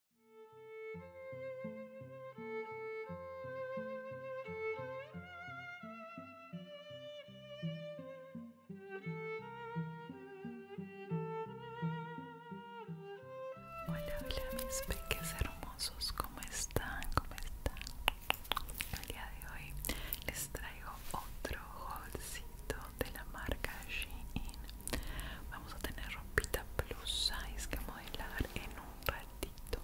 Hola, hola mis peques hermosos, ¿cómo están? ¿Cómo están? El día de hoy les traigo otro haulcito de la marca Shein Vamos a tener rompita plus size que modelar en un ratito.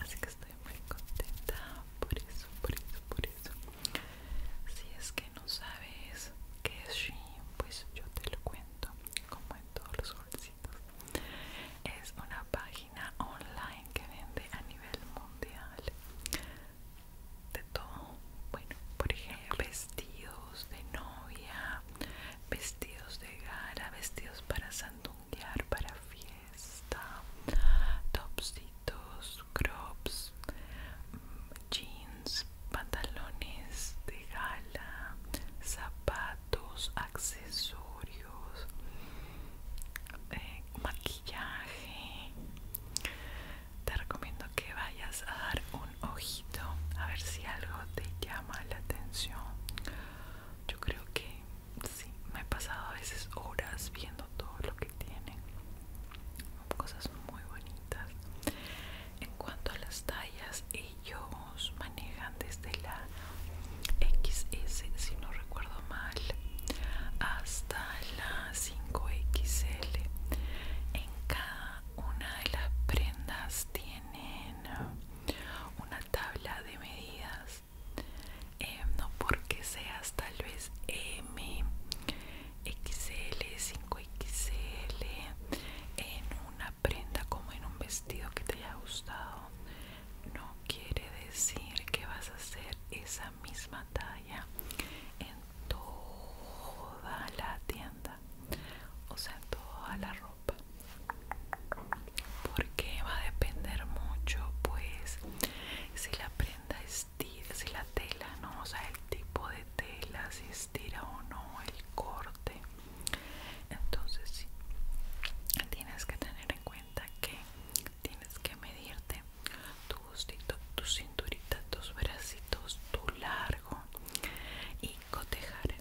Así que estoy muy contenta por eso, por eso, por eso. Si es que no sabes qué es Shein, pues yo te lo cuento, como en todos los bolsitos. Es una página online que vende a nivel mundial de todo. Bueno, por ejemplo, vestidos de novia, vestidos de gala, vestidos para sandunguear, para fiesta, topsitos, crops, jeans, pantalones de gala, zapatos, accesorios, eh, maquillaje. Te recomiendo que vayas a dar un ojito a ver si algo te llama la atención. Yo creo que sí, me he pasado a veces horas viendo todo lo que tienen. Cosas muy bonitas. En cuanto a las tallas, ellos manejan desde la XS, si no recuerdo mal, hasta la 5XL. En cada una de las prendas tienen una tabla de medidas. Eh, no porque seas tal vez M, XL, 5XL, en una prenda como en un vestido que te haya gustado, no quiere decir que vas a hacer esa misma talla toda la tienda, o sea, toda la ropa, porque va a depender mucho, pues, si la prenda estira, si la tela, no, o sea, el tipo de tela, si estira o no, el corte. Entonces, tienes que tener en cuenta que tienes que medirte tu bustito, tu cinturita, tus bracitos, tu largo y cotejar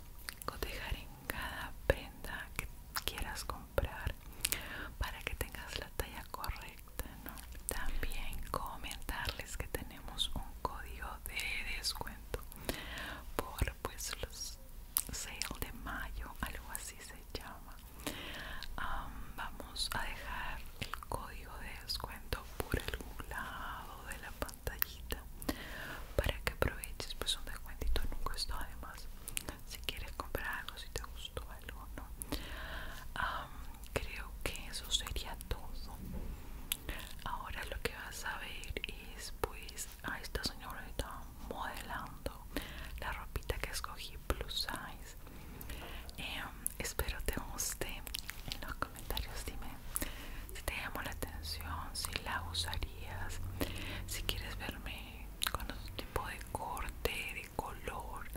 en cada prenda que quieras comprar para que tengas la talla correcta también comentarles que tenemos un código de descuento por pues los sale de mayo algo así se llama vamos a dejar el código de descuento por algún lado de la pantallita para que aproveches pues un descuentito nunca cuesta además si quieres comprar algo si te gustó algo creo que eso sería todo ahora lo que vas a ver es pues a esta señora modelando la ropita que escogí plus size em, espero te guste en los comentarios dime si te llamó la atención si la usarías si quieres verme con otro tipo de corte de color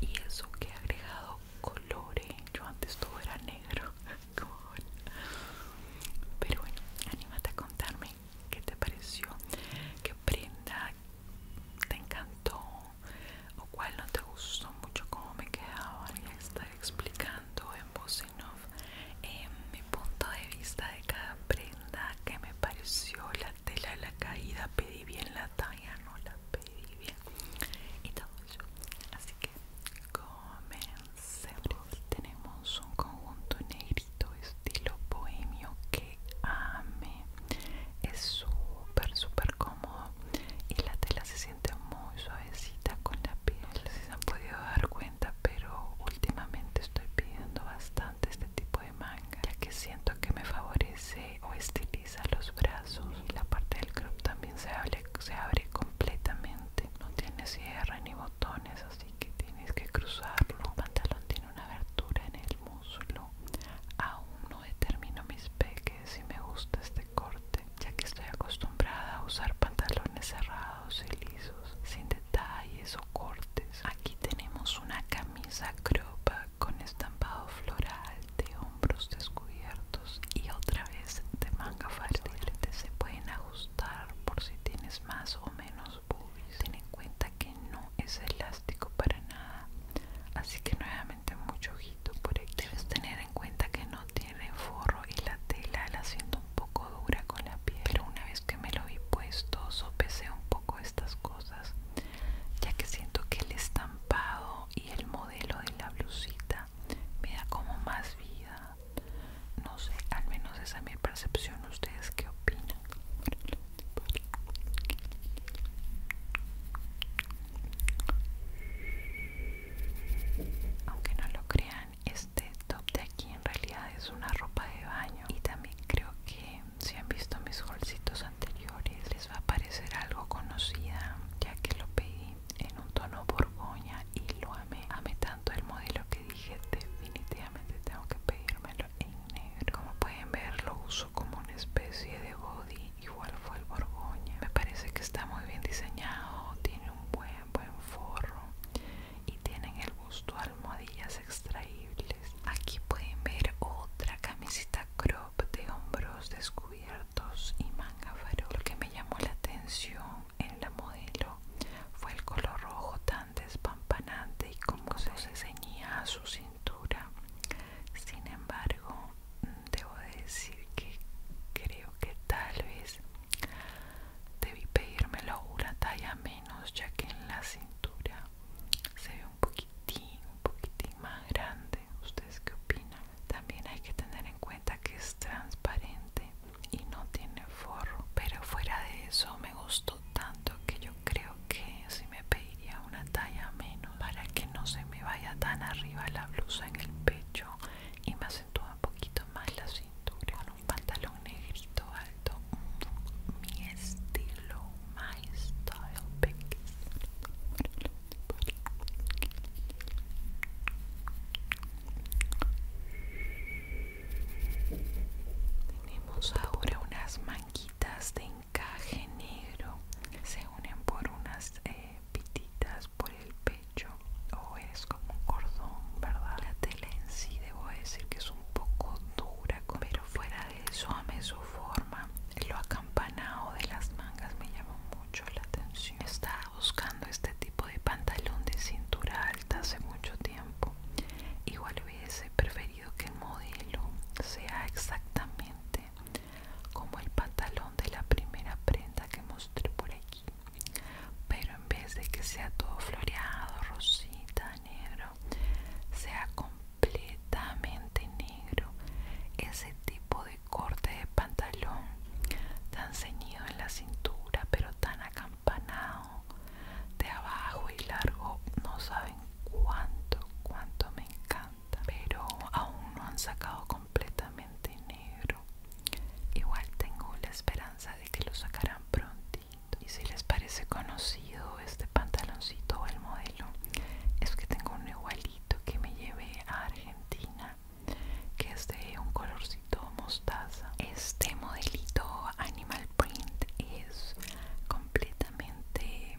y eso que he agregado colores yo antes todo era negro pero bueno anímate a contarme qué te pareció qué prenda te encantó o cuál no te gustó mucho cómo me quedaban y estar explicando en voz en off mi punto de vista de cada prenda que me pareció la tela la caída pedí bien la talla no la pedí bien y todo eso así que comencemos tenemos un conjunto negrito estilo bohemio que ame es súper súper cómodo y la tela se siente muy suavecita con la piel. No si se han podido dar cuenta, pero últimamente estoy pidiendo bastante este tipo de manga, ya que siento que me favorece o estiliza los brazos y la parte del crop también se abre, se abre completamente. No tiene cierre ni botones, así que tienes que cruzarlo. El pantalón tiene una abertura en el muslo. Aún no determino mis peques y me gusta este corte, ya que estoy acostumbrada a usar pantalones cerrados y lisos, sin detalles o cortes. Aquí tenemos una camisa cropa con estampado floral de hombros descubiertos y otra vez de manga que Se pueden ajustar por si tienes más o menos boobies. Ten en cuenta que no es elástico para nada así que nuevamente mucho ojito por ahí debes tener en cuenta que no tiene forro y la tela la siento un poco dura con la piel pero una vez que me lo vi puesto sopesé un poco estas cosas ya que siento que el estampado y el modelo de la blusita me da como más vida no sé al menos esa es mi percepción ustedes qué opinan aunque no lo crean, este top de aquí en realidad es una ropa de baño y también creo que si han visto mis holcitos anteriores les va a parecer algo conocida ya que lo pedí en un tono borgoña y lo amé. Amé tanto el modelo que dije definitivamente tengo que pedírmelo en negro. Como pueden ver lo uso como una especie de body igual fue el Borgoña. Me parece que está muy bien diseñado, tiene un buen, buen forro y tienen el gusto almohadillas extraíbles. Aquí pueden ver otra camiseta crop de hombros descubiertos y manga farol. Lo que me llamó la atención en la modelo fue el color rojo tan despampanante y cómo se ceñía a su cintura sin embargo, debo decir que creo que tal vez debí pedírmelo una talla menos, ya que en la cintura se ve un poquitín, un poquitín más grande. ¿Ustedes qué opinan? También hay que tener en cuenta que es transparente y no tiene forro, pero fuera de eso me gustó tanto que yo creo que me pediría una talla menos para que no se me vaya tan arriba la blusa en el pecho y me acentúe un poquito más la cintura con un pantalón negrito alto mm, mi estilo my style tenemos ahora unas manguitas de caje negro se unen por unas eh, pititas por el pecho o oh, es como un cordón verdad la tela en sí debo decir que es un poco dura pero fuera de eso ame su forma lo acampanado de las mangas me llamó mucho la atención estaba buscando este tipo de pantalón de cintura alta hace mucho tiempo igual hubiese preferido que el modelo sea exactamente como el pantalón de la primera prenda que mostré por aquí pero en vez de que sea todo floreado rosita negro sea completamente negro ese tipo de corte de pantalón tan ceñido en la cintura pero tan acampanado de abajo y largo no saben cuánto cuánto me encanta pero aún no han sacado completamente negro igual tengo la esperanza de que lo sacarán prontito y si les parece conocido este pantaloncito o el modelo es que tengo un igualito que me llevé a Argentina que es de un colorcito mostaza este modelito animal print es completamente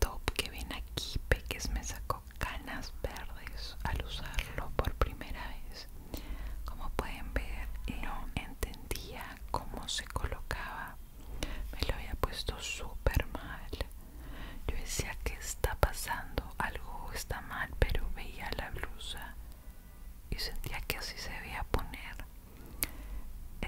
top que viene aquí Peques me sacó canas verdes al usarlo por primera vez como pueden ver eh, no entendía cómo se colocaba me lo había puesto súper mal yo decía que está pasando algo está mal pero veía la blusa y sentía que así se veía poner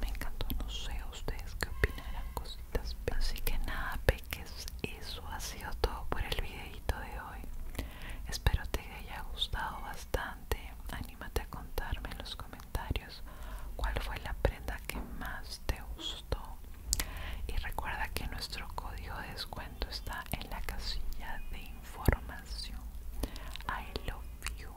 me encantó, no sé ustedes qué opinarán cositas. Así que nada, peques, eso ha sido todo por el videito de hoy. Espero te haya gustado bastante. Anímate a contarme en los comentarios cuál fue la prenda que más te gustó. Y recuerda que nuestro código de descuento está en la casilla de información. I love you.